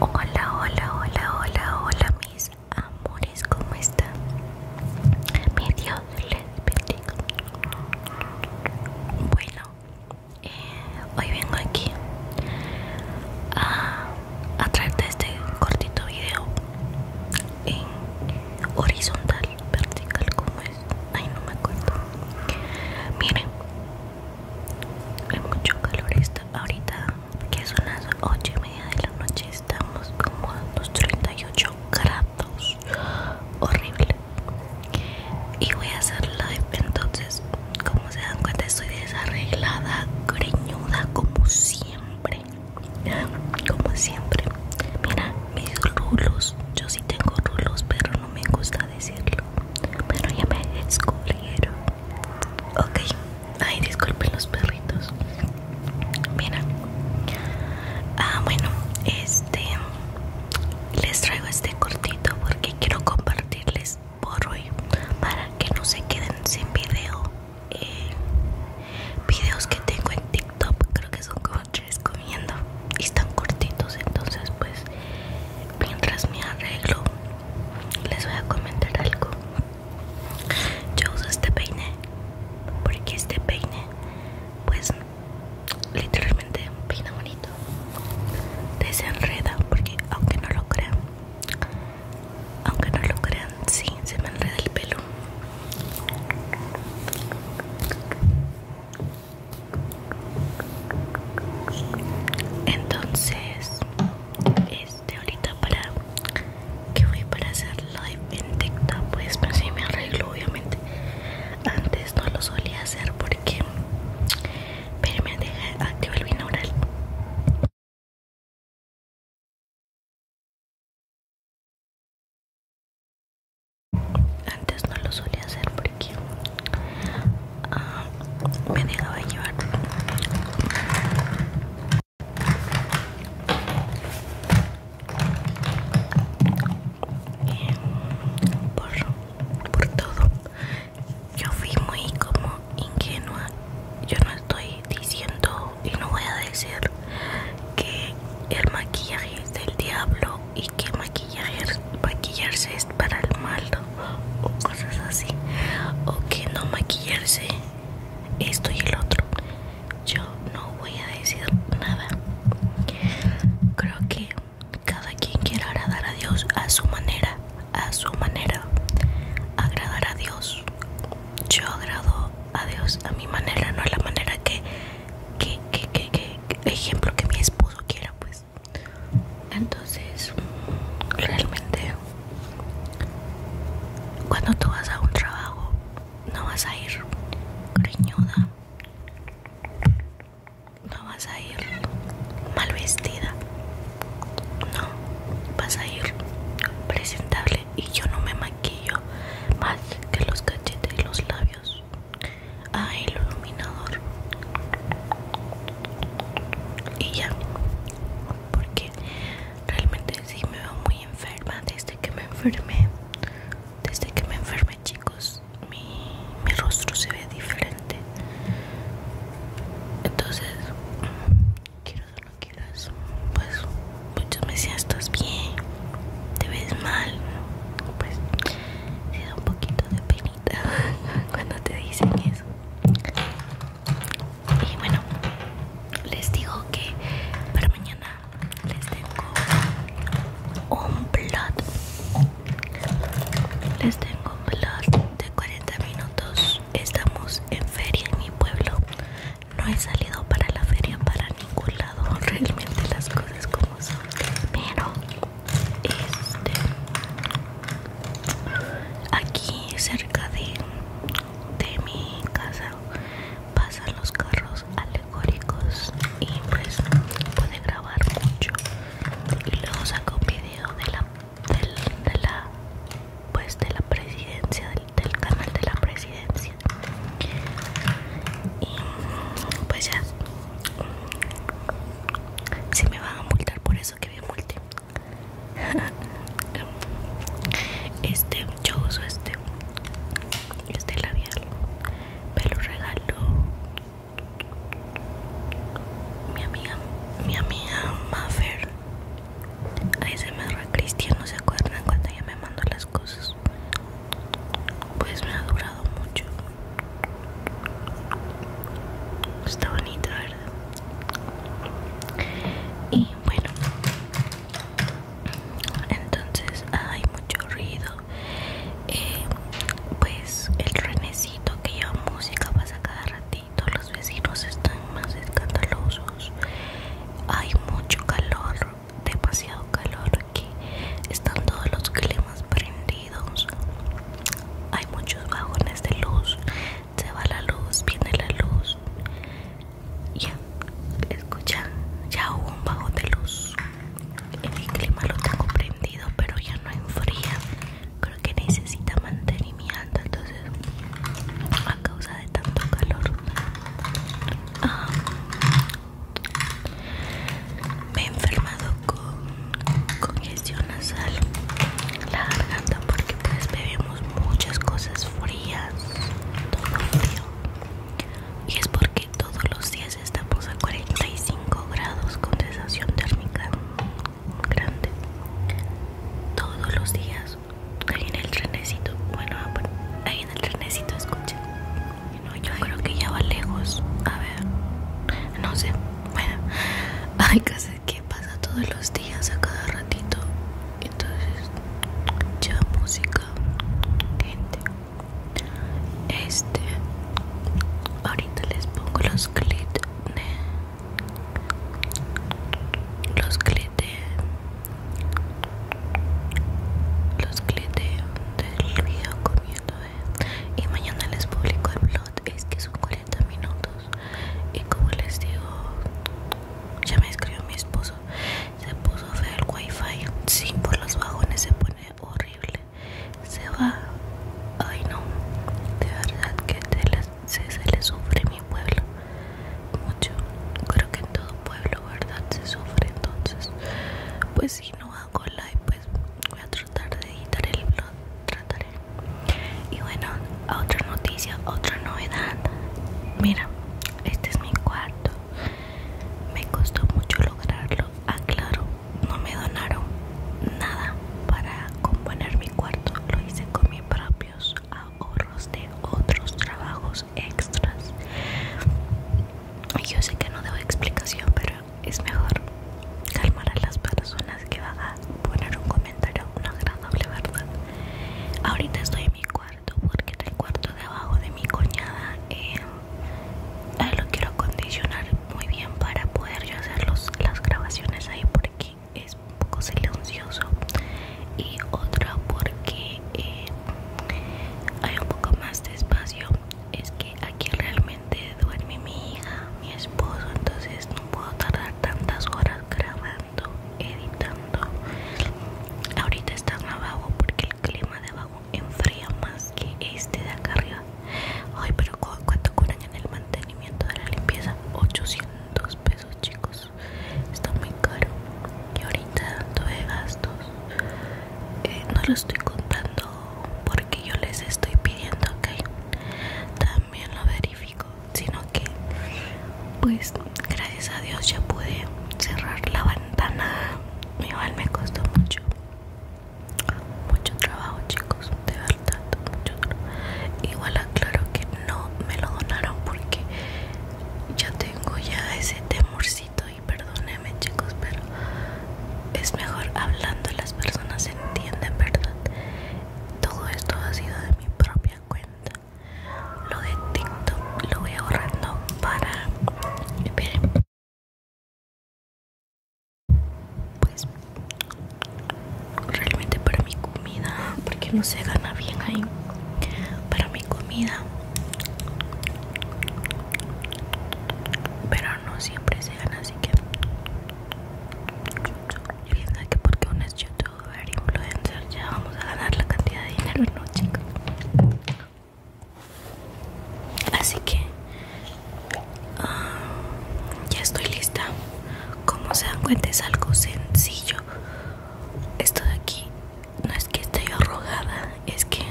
Hola, hola, hola, hola, hola, mis amores, ¿cómo están? Mi Dios les Bueno, eh, hoy vengo aquí a, traerte este cortito video en horizontal, vertical, ¿cómo es, ay, no me acuerdo. Miren, hay mucho calor está ahorita, que son las 8 y media de la noche, estamos como a unos 38 grados, horrible. Y voy a hacer live, entonces, como se dan cuenta, estoy desarreglada, greñuda, como siempre. Como siempre, mira mis rulos. Yo sí tengo rulos, pero no me gusta decirlo. Pero ya me descubrieron. Ok, ay, disculpen los perritos. Mira, ah, bueno, este les traigo este cortito porque quiero compartirles por hoy para que no se queden sin video. Eh, videos que tengo en TikTok, creo que son como tres comiendo y están cortitos. Entonces, pues mientras me arreglo les voy a comentar algo yo uso este peine porque este peine pues literalmente peine bonito enreda, porque aunque no lo crean aunque no lo crean sí se me enreda el pelo entonces este ahorita para que voy para hacer live en TikTok pues pensé si me arreglo obviamente antes no lo solía hacer porque pero me deja activo el binaural antes no lo solía hacer porque me dejaba llevar por, todo yo fui muy como ingenua yo no estoy diciendo y no voy a decir que el maquillaje es del diablo y que maquillarse maquillarse para el malo o cosas así o que no maquillarse esto y el otro yo no voy a decir nada creo que cada quien quiere agradar a Dios a su manera a su manera agradar a Dios yo agrado a Dios a mi manera no a la manera que que, que ejemplo que mi esposo quiera pues entonces realmente cuando tú vas a un trabajo no vas a ir riñuda no vas a ir mal vestida no vas a ir presentable y yo no me maquillo más que los cachetes y los labios ah, el iluminador y ya porque realmente sí me veo muy enferma desde que me enfermé desde que me enfermé chicos mi, rostro se ve diferente entonces quiero o no quieras pues muchos me decían estás bien te ves mal pues te da un poquito de penita cuando te dicen eso y bueno, les digo que para mañana les tengo un vlog Les tengo un vlog de 40 minutos. Estamos en feria en mi pueblo. No he salido para la feria para ningún lado. Realmente las cosas como son. Pero este aquí cerca de, de mi casa pasan los carros alegóricos y pues puede grabar mucho y luego saco un video de la de la pues de la presidencia del, canal de la presidencia y pues ya si me van a multar por eso que bien multen Este, yo uso este Este labial Me lo regaló Mi amiga Mi amiga Maffer Ahí se me Cristian, no se acuerdan cuando ella me mandó las cosas Pues me ha durado mucho Está bonita, ¿verdad? y bueno entonces hay mucho ruido eh, pues el renecito que lleva música pasa cada ratito los vecinos están más escandalosos hay mucho calor demasiado calor aquí están todos los climas prendidos hay muchos vagones de luz se va la luz, viene la luz. Ya, escucha, ya hubo un bajo de luz. En clima lo tengo prendido, pero ya no enfría. Creo que necesita mantenimiento, entonces a causa de tanto calor. Ah, me he enfermado con congestión nasal, la garganta porque pues bebemos muchas cosas frías, todo frío y es porque todos los días estamos a 45 grados con térmica grande todos los días ahí en el trenecito bueno ah, ahí en el trenecito escuchen yo creo que ya va lejos a ver no sé bueno ay que pasa todos los días a cada ratito entonces ya música gente este ahorita les pongo los clips de los clips de los clips de, del video comiendo ¿eh? y mañana les publico el vlog es que son 40 minutos y como les digo ya me escribió mi esposo se puso feo el wifi sin por los vagones se pone horrible se va ay no de verdad que se, le sufre mi pueblo mucho creo que en todo pueblo verdad se sufre entonces pues si no hago live pues voy a tratar de editar el blog y bueno otra noticia otra novedad mira este es mi cuarto me costó mucho lograrlo aclaro ah, no me donaron nada para componer mi cuarto lo hice con mis propios ahorros de otros trabajos extras yo sé que no debo explicación pero es mejor calmar a las personas que va a poner un comentario una agradable verdad ahorita estoy en mi cuarto porque en el cuarto de abajo de mi cuñada eh, lo quiero acondicionar muy bien para poder yo hacer las grabaciones ahí porque es un poco silencioso y otra porque eh, hay un poco más de espacio es que aquí realmente duerme mi hija mi esposo entonces no puedo tardar tantas horas grabando editando ahorita están abajo porque el clima de abajo enfría más que este de acá arriba ay pero cuánto cobran en el mantenimiento de la limpieza 800 pesos chicos está muy caro y ahorita de gastos eh, no lo estoy contando porque yo les estoy pidiendo ok también lo verifico sino que pues gracias a Dios ya pude cerrar la ventana. Igual me costó mucho, mucho trabajo, chicos, de verdad, mucho Igual aclaro que no me lo donaron porque ya tengo ya ese temorcito y perdónenme, chicos, pero es mejor hablando, las personas entienden, ¿verdad? Todo esto ha sido de mi propia cuenta. Lo de TikTok lo voy ahorrando para... Pues realmente para mi comida, porque no se gana bien ahí. Para mi comida. Pero no siempre se gana, así que y que porque uno es youtuber, influencer, ya vamos a ganar la cantidad de dinero, no chicos. Así que ah, ya estoy lista. Como se dan cuenta es algo sencillo. Esto de aquí no es que esté yo arrogada, es que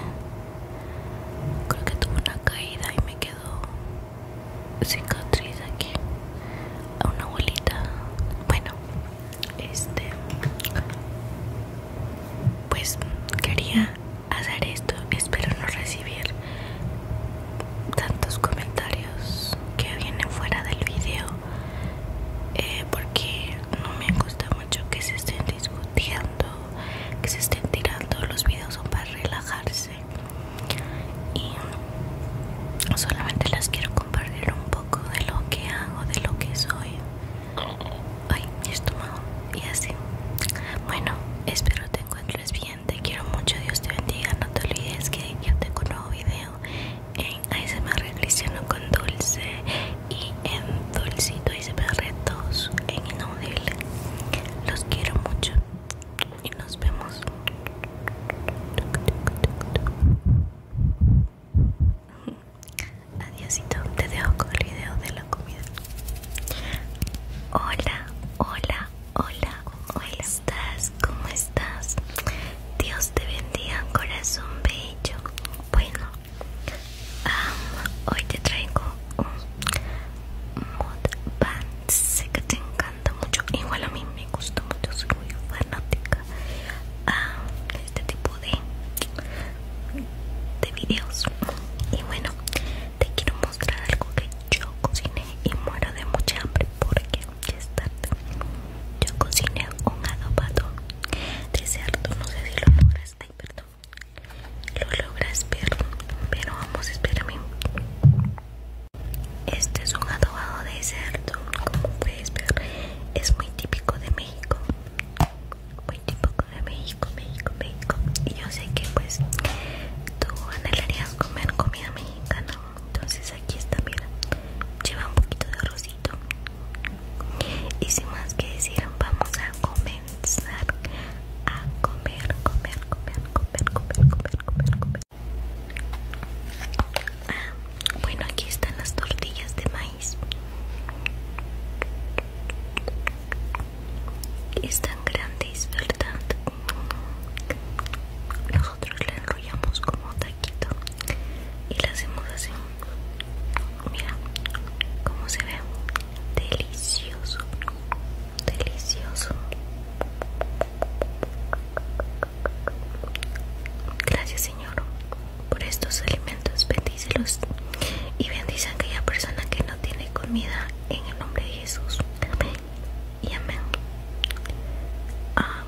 creo que tuve una caída y me quedó cicatriz aquí a una abuelita bueno este pues quería hacer esto espero no recibir tantos comentarios que vienen fuera del video eh, porque no me gusta mucho que se estén discutiendo que se estén tirando los videos son para relajarse y solamente las quiero compartir un poco de lo que hago, de lo que soy. Ay, y así. Bueno, espero te encuentres bien, te quiero mucho, Dios te bendiga, no te olvides que yo tengo un nuevo video en ASMR Cristiano con Dulce y en Dulcito ASMR retos en Inaudible. Los quiero mucho y nos vemos adiósito te dejo con el video de la comida hola hola hola ¿cómo estás? ¿cómo estás? Dios te bendiga corazón bello bueno hoy te traigo un pan sé que te encanta mucho igual a mí me gusta mucho soy muy fanática a ah, este tipo de de videos y bueno te quiero mostrar algo que yo cociné y muero de mucha hambre porque ya es yo cociné un adobado de cerdo no sé si lo logras ay perdón lo logras pero pero vamos espérame este es un adobado de cerdo como puedes ver es muy típico de México muy típico de México, México, México y yo sé que pues tú anhelarías comer comida mexicana entonces aquí está mira lleva un poquito de rosito y sin más que decir vamos a comenzar a comer, comer, comer, comer, comer, comer, comer, comer bueno, aquí están las tortillas de maíz. Están grandes, ¿verdad? Nosotros la enrollamos como taquito y las hacemos así. Mira cómo se ve. Delicioso. Delicioso. Gracias Señor por estos alimentos, bendícelos y bendice a aquella persona que no tiene comida en el nombre de Jesús. Amén y amén. Ah,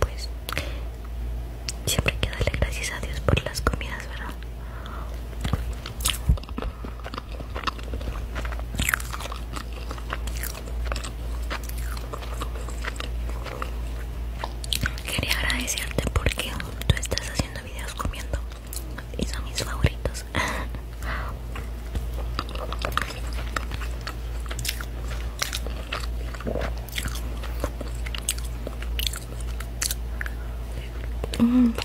pues siempre hay que darle gracias a Dios por las comidas, ¿verdad? Quería agradecerte porque tú estás haciendo videos comiendo y son mis favoritos.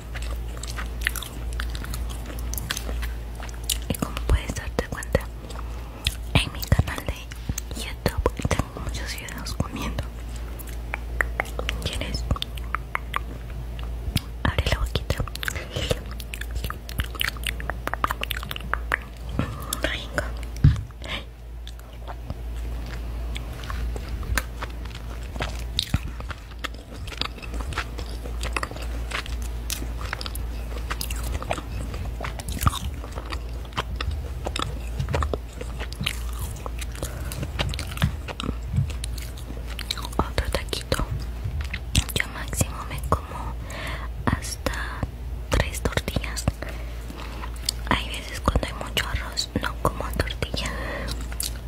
Y como puedes darte cuenta, en mi canal de YouTube tengo muchos videos comiendo. ¿Quieres? Abre la boquita. Otro taquito. Yo máximo me como hasta tres tortillas. Hay veces cuando hay mucho arroz no como tortilla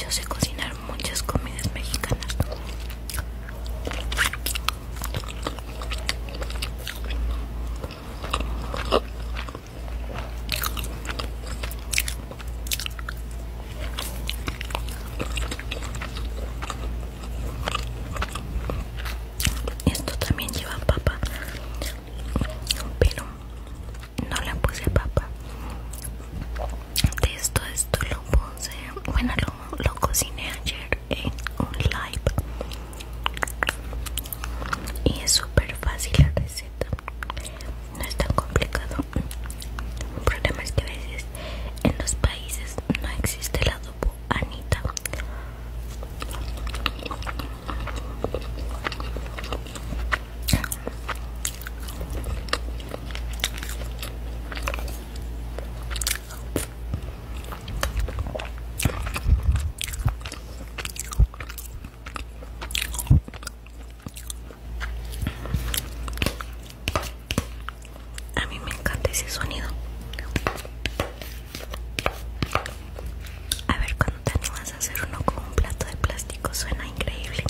Yo sé cocinar muchas comidas mexicanas. Esto también lleva papa pero no le puse papa de esto esto lo puse bueno lo, cociné ayer en un live y es súper fácil la receta no es tan complicado el problema es que a veces en los países no existe la adobo anita a mí me encanta ese sonido. A ver cuando te animas a hacer uno con un plato de plástico, suena increíble.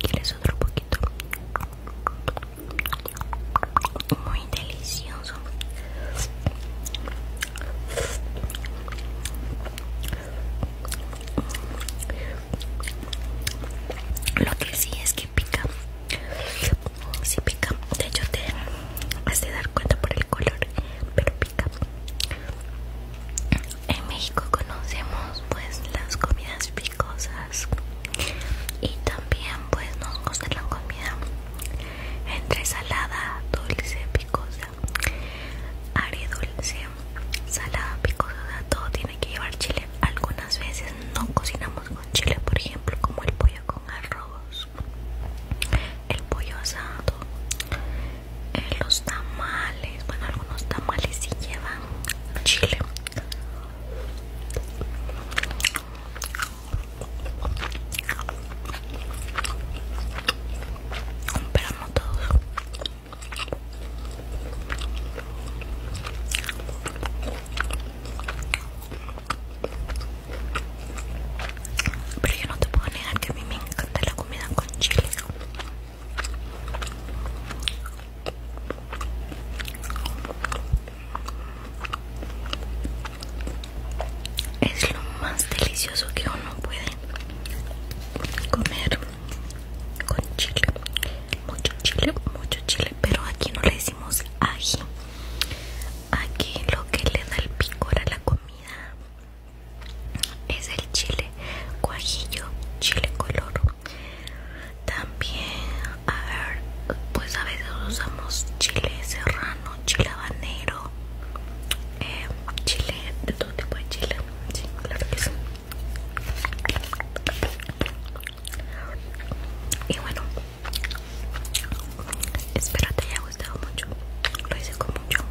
¿Quieres otro poquito? Muy delicioso lo que sí es que pica sí pica de hecho te vas de dar cuenta por el color pero pica en México conocemos pues las comidas picosas y también pues nos gusta la comida entre salada, dulce, picosa, dulce salada, picosa, todo tiene que llevar chile. Algunas veces no cocinamos con chile, por ejemplo, como el pollo con arroz, el pollo asado, eh, los tamales, bueno, algunos tamales sí llevan chile. Compramos todos pero yo no te puedo negar que a mí me encanta la comida con chile es lo más delicioso que uno puede comer con chile mucho chile mucho chile pero aquí no le decimos ají aquí lo que le da el picor a la comida es el chile cuajillo chile color también a ver pues a veces usamos chile serrano chile habanero eh, chile, de todo tipo de chile, sí, claro que sí. Y bueno, espero te haya gustado mucho. Lo hice con mucho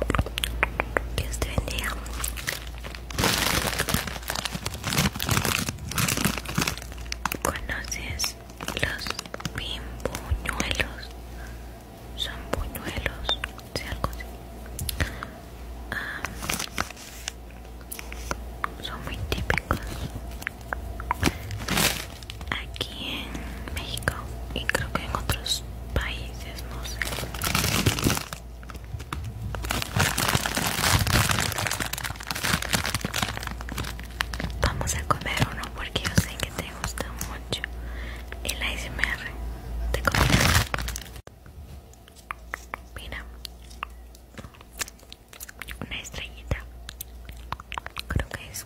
Que este te ¿Conoces los buñuelos son buñuelos, algo así. Ah, son muy típicos aquí en México y creo que en otros países, no sé. Vamos a comer uno porque yo sé que te gusta mucho el ASMR de comer Mira, una estrellita. Creo que es.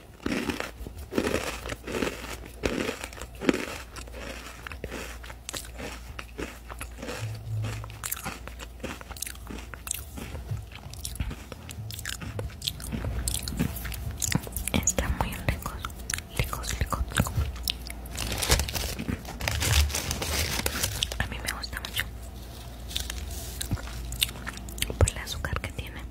está muy rico, ricos, ricos, A mí me gusta mucho por el azúcar que tiene.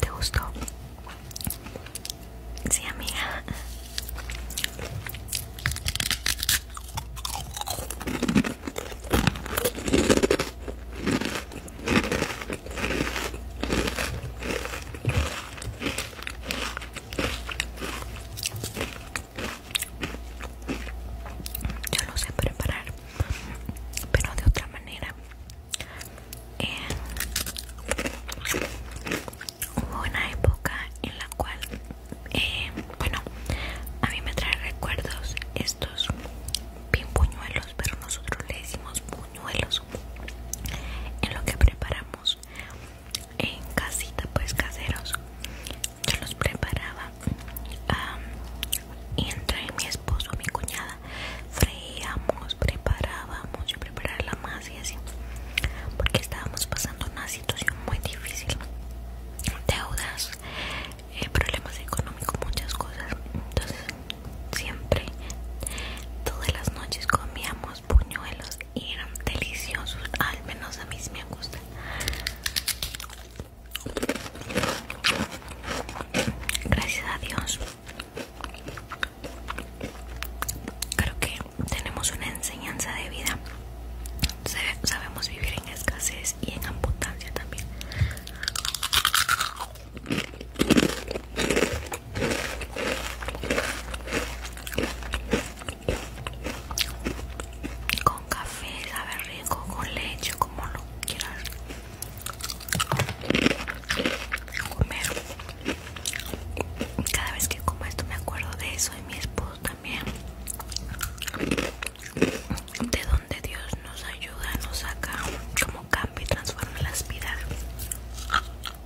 ¿Te gustó? Sí, amiga. Yo lo sé preparar, pero de otra manera. hubo una época en la cual, eh, bueno, a mí me trae recuerdos estos puñuelos pero nosotros le decimos en lo que preparamos en casita pues caseros yo los preparaba entre mi esposo mi cuñada freíamos preparábamos yo preparaba la masa y así porque estábamos pasando una situación muy difícil deudas eh, problemas económicos muchas cosas entonces siempre todas las noches comíamos puñuelos y eran deliciosos, al menos a mí me gusta Gracias a Dios. Creo que tenemos una enseñanza de vida. Sabemos vivir en escasez y en abundancia también. Con café, sabe rico, con leche, como lo quieras comer. Cada vez que como esto me acuerdo de eso y mi esposo también. De donde Dios nos ayuda, nos saca como cambia y transforma las vidas.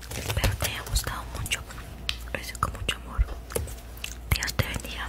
Espero te haya gustado mucho. Lo hice con mucho amor. Dios te bendiga.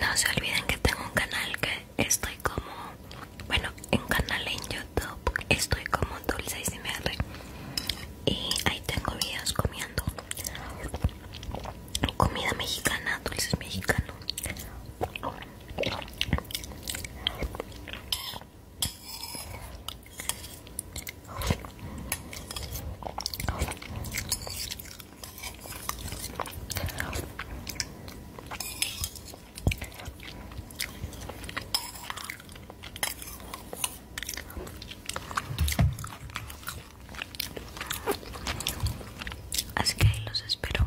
No se olviden que tengo un canal que estoy como, bueno, un canal en YouTube, estoy como Dulce y y ahí tengo videos comiendo comida mexicana, dulces mexicanos. Así que los espero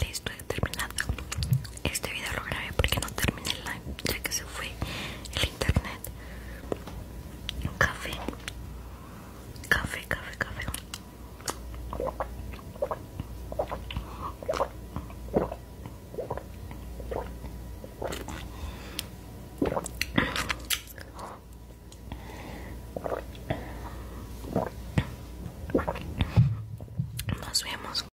Listo, he terminado. Este video lo grabé porque no terminé el live ya que se fue el internet. Café. Café, café, café. Nos vemos.